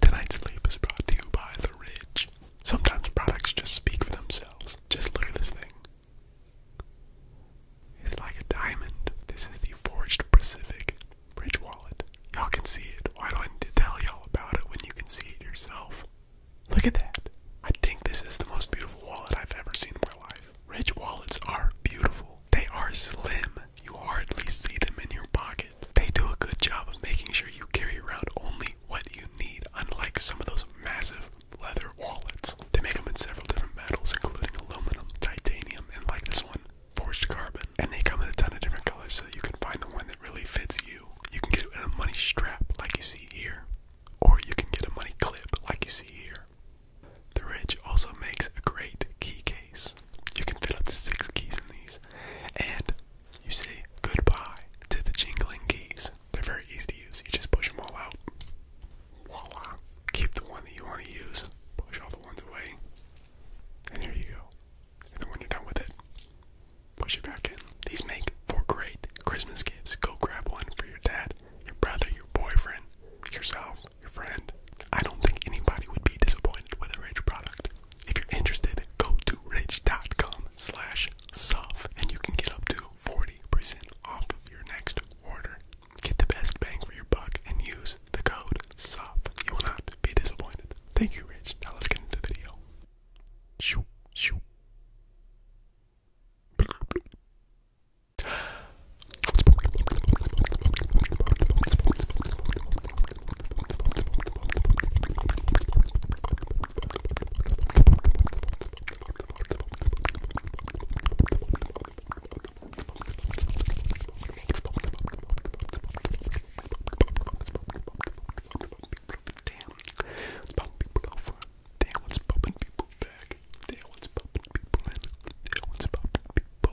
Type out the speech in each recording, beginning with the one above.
Tonight's sleep is brought to you by The Ridge. Sometimes products just speak for themselves. Just look at this thing. It's like a diamond. This is the Forged Pacific Bridge Wallet. Y'all can see it. Why do I need to tell y'all about it when you can see it yourself? Look at that. I think this is the most beautiful wallet I've ever seen in my life. Ridge wallets are beautiful. They are slim. You hardly see them in your pocket. They do a good job of making sure you carry around only what you need, unlike some of those massive leather wallets. They make them in several different metals, including aluminum, titanium, and like this one, forged carbon. And they come in a ton of different colors so you can find the one that really fits you. You can get it in a money strap like you see here, or you can get a money clip like you see here. The Ridge also makes a great key case. You can fill up to six keys in these. And you say goodbye to the jingling keys. They're very easy to use. You just push them all out. Voila. Keep the one that you want to use. Push all the ones away. And here you go. And when you're done with it, push it back in. These make for great Christmas gifts. Go grab one for your dad, your brother, your boyfriend, yourself, your friend. I don't think anybody would be disappointed with a rich product. If you're interested, go to rich.com slash suf and you can get up to 40% off of your next order. Get the best bang for your buck and use the code SUF. You will not be disappointed. Thank you, Rich. Now let's get into the video. Shoo, shoo. Damn, let's pump people over. Damn, what's pumping people back. Damn, what's pumping people in. Damn, what's pumping people.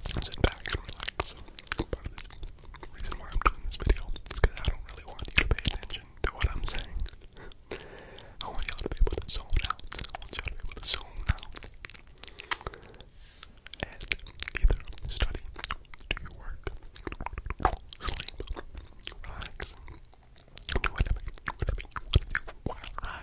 sit back and relax. the reason why I'm doing this video is because I don't really want you to pay attention to what I'm saying. I want you to be able to zone out. I want you to be able to zone out. And either study, do your work, sleep, relax, whatever, whatever you want to do while I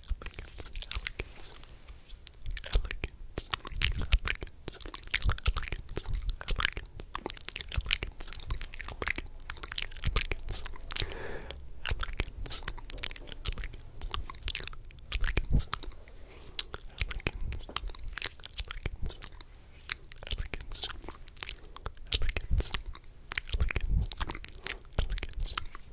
elegance, elegance, elegance, elegance, elegance, elegance, elegance, elegance, elegance, elegance, elegance, elegance, elegance, elegance, elegance,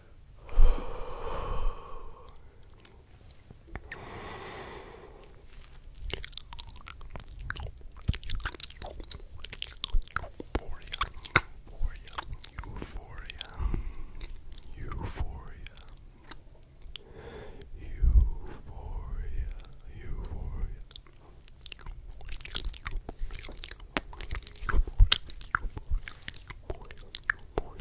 Euphoria, euphoria, euphoria, euphoria, euphoria, euphoria. Euphoria, euphoria, euphoria, euphoria, Continents, continents.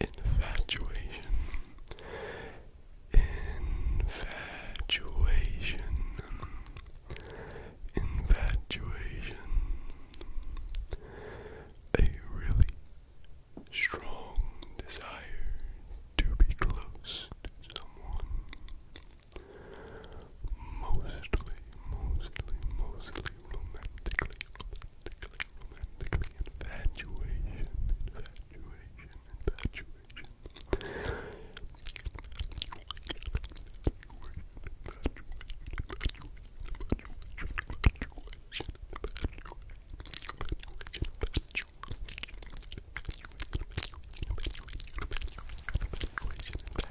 Infatuation. Infatuation. Infatuation. A really strong desire to be close to someone. Mostly, mostly, mostly romantically, romantically, romantically, infatuation, infatuation, infatuation, infatuation, infatuation,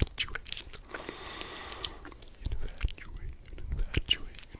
infatuation, infatuation, infatuation, infatuation,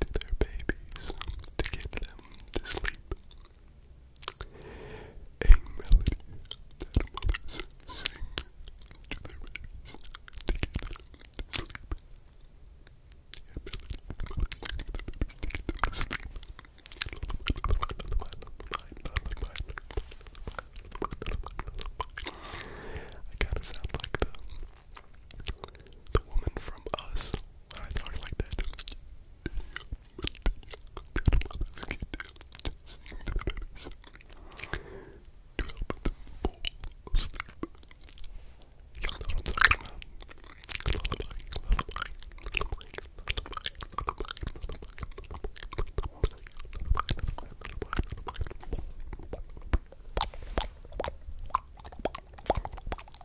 to their babies to get them to sleep. A melody that mothers sing to their babies to get them to sleep. I gotta sound like the the woman from Us. I talk like that. Sing to the babies. To help them fall asleep. Y'all know what I'm talking about. Lullaby, lullaby, lullaby, lullaby, lullaby, lullaby, lullaby, lullaby, lullaby, lullaby.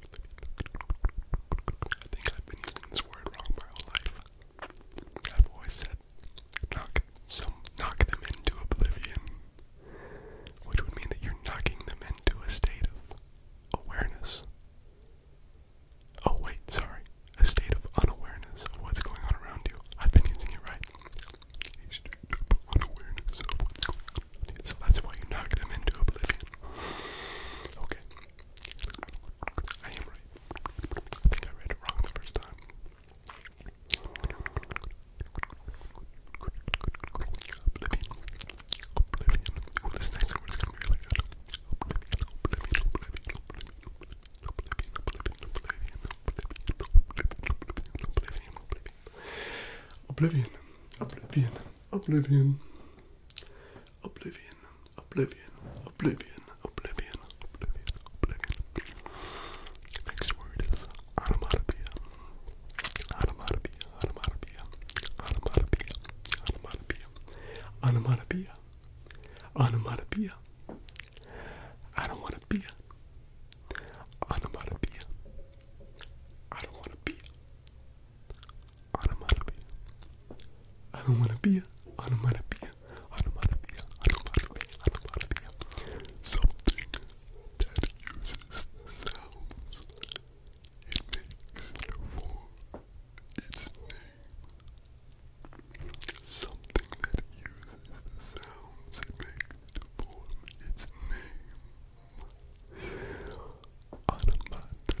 I think I've been using this word wrong my whole life. I've always said knock some knock them into oblivion, which would mean that you're knocking them into a state of awareness. Oh wait, sorry, a state of unawareness of what's going on around you. I've been using it right. unawareness of what's going on. So that's why you knock them into oblivion. Okay. I am right. I think I read it wrong the first time. Oblivion. Oblivion. oblivion, oblivion, oblivion, oblivion, oblivion, oblivion, oblivion, oblivion, Oblivion, oblivion, oblivion, oblivion, oblivion. Next word is onomatopoeia. Onomatopoeia, onomatopoeia, onomatopoeia, onomatopoeia, onomatopoeia, onomatopoeia. I don't want to be a onomatopoeia. I don't want to be onomatopoeia. I don't want to be a onomatopoeia. Onomatopoeia. Onomatopoeia. Onomatopoeia. Something that uses sounds. It makes no form. Its name. Something that uses the sounds it makes to form its name. Onomatopoeia.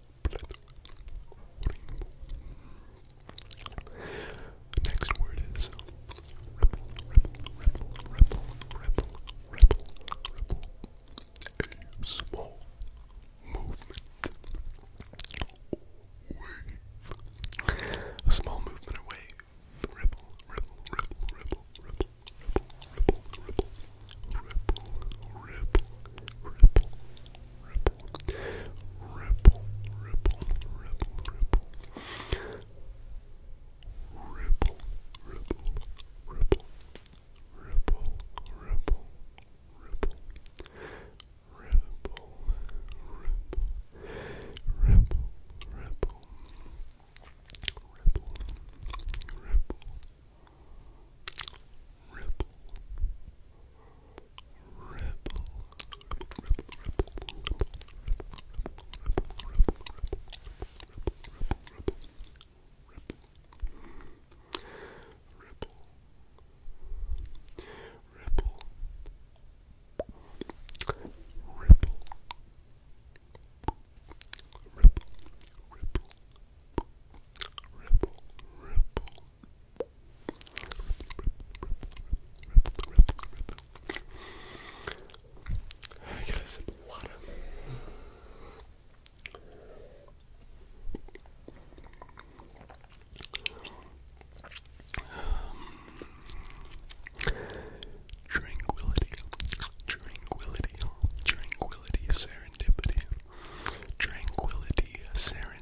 Next word is ripple, ripple, ripple, ripple, ripple, ripple, ripple. A small movement. A small movement away. Ripple, ripple, ripple, ripple, ripple, ripple, ripple, ripple, ripple, ripple, ripple, ripple, ripple, ripple, ripple, ripple. Ripple, ripple, ripple, ripple, ripple, ripple, ripple, ripple, ripple, ripple, ripple, ripple, Ripple. Ripple. Ripple. Ripple. Ripple. Ripple. Ripple. Ripple. Ripple. Ripple. Ripple. Ripple. Ripple. Ripple, ripple, ripple, ripple, tranquility, tranquility, tranquility, serendipity, tranquility, serendipity.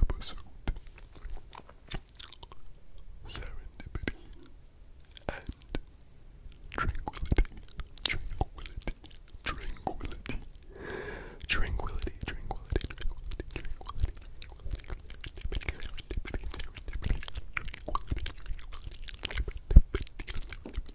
episode Serendipity and Tranquility, Tranquility, Tranquility, Tranquility, Tranquility, Tranquility, Tranquility, Tranquility, Serendipity, Serendipity, Tranquility, Serendipity, Serendipity,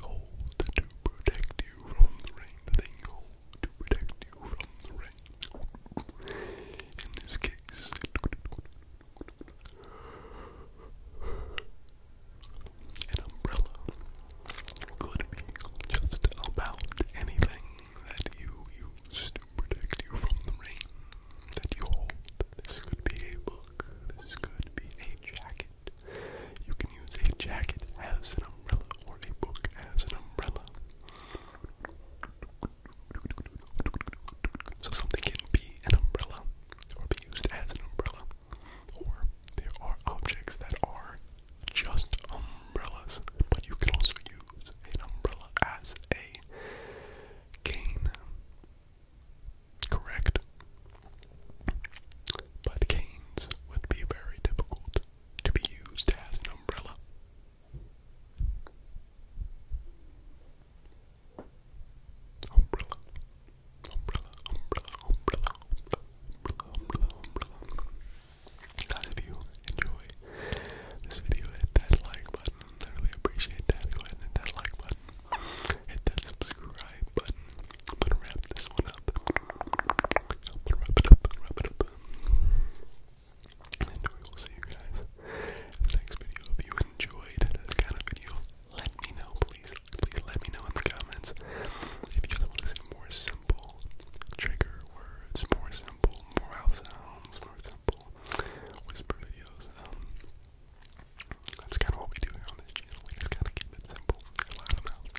hold to protect you from the rain. The hold to protect you from the rain. In this case, an umbrella could be just about anything that you use to protect you from the rain that you hold. This could be a book, this could be a jacket. You can use a jacket as an umbrella or a book as an umbrella. So something can be an umbrella or be used as an umbrella. Or there are objects that are just umbrellas, but you can also use an umbrella as a cane. Correct? But canes would be very difficult to be used as an umbrella. Umbrella, umbrella, umbrella, umbrella, umbrella, umbrella, if you enjoy this video, hit that like button. I really appreciate that. Go ahead and hit that like button. Hit that subscribe button. I'm gonna wrap this one up. I'm we will see you guys in the next video. If you enjoyed this kind of video, let me know, please. Please let me know in the comments if you guys want to more simple trigger words, more simple mouth sounds, more simple whisper videos. Um, that's kind of what we do here on this channel. We just kind of keep it simple, loud mouth,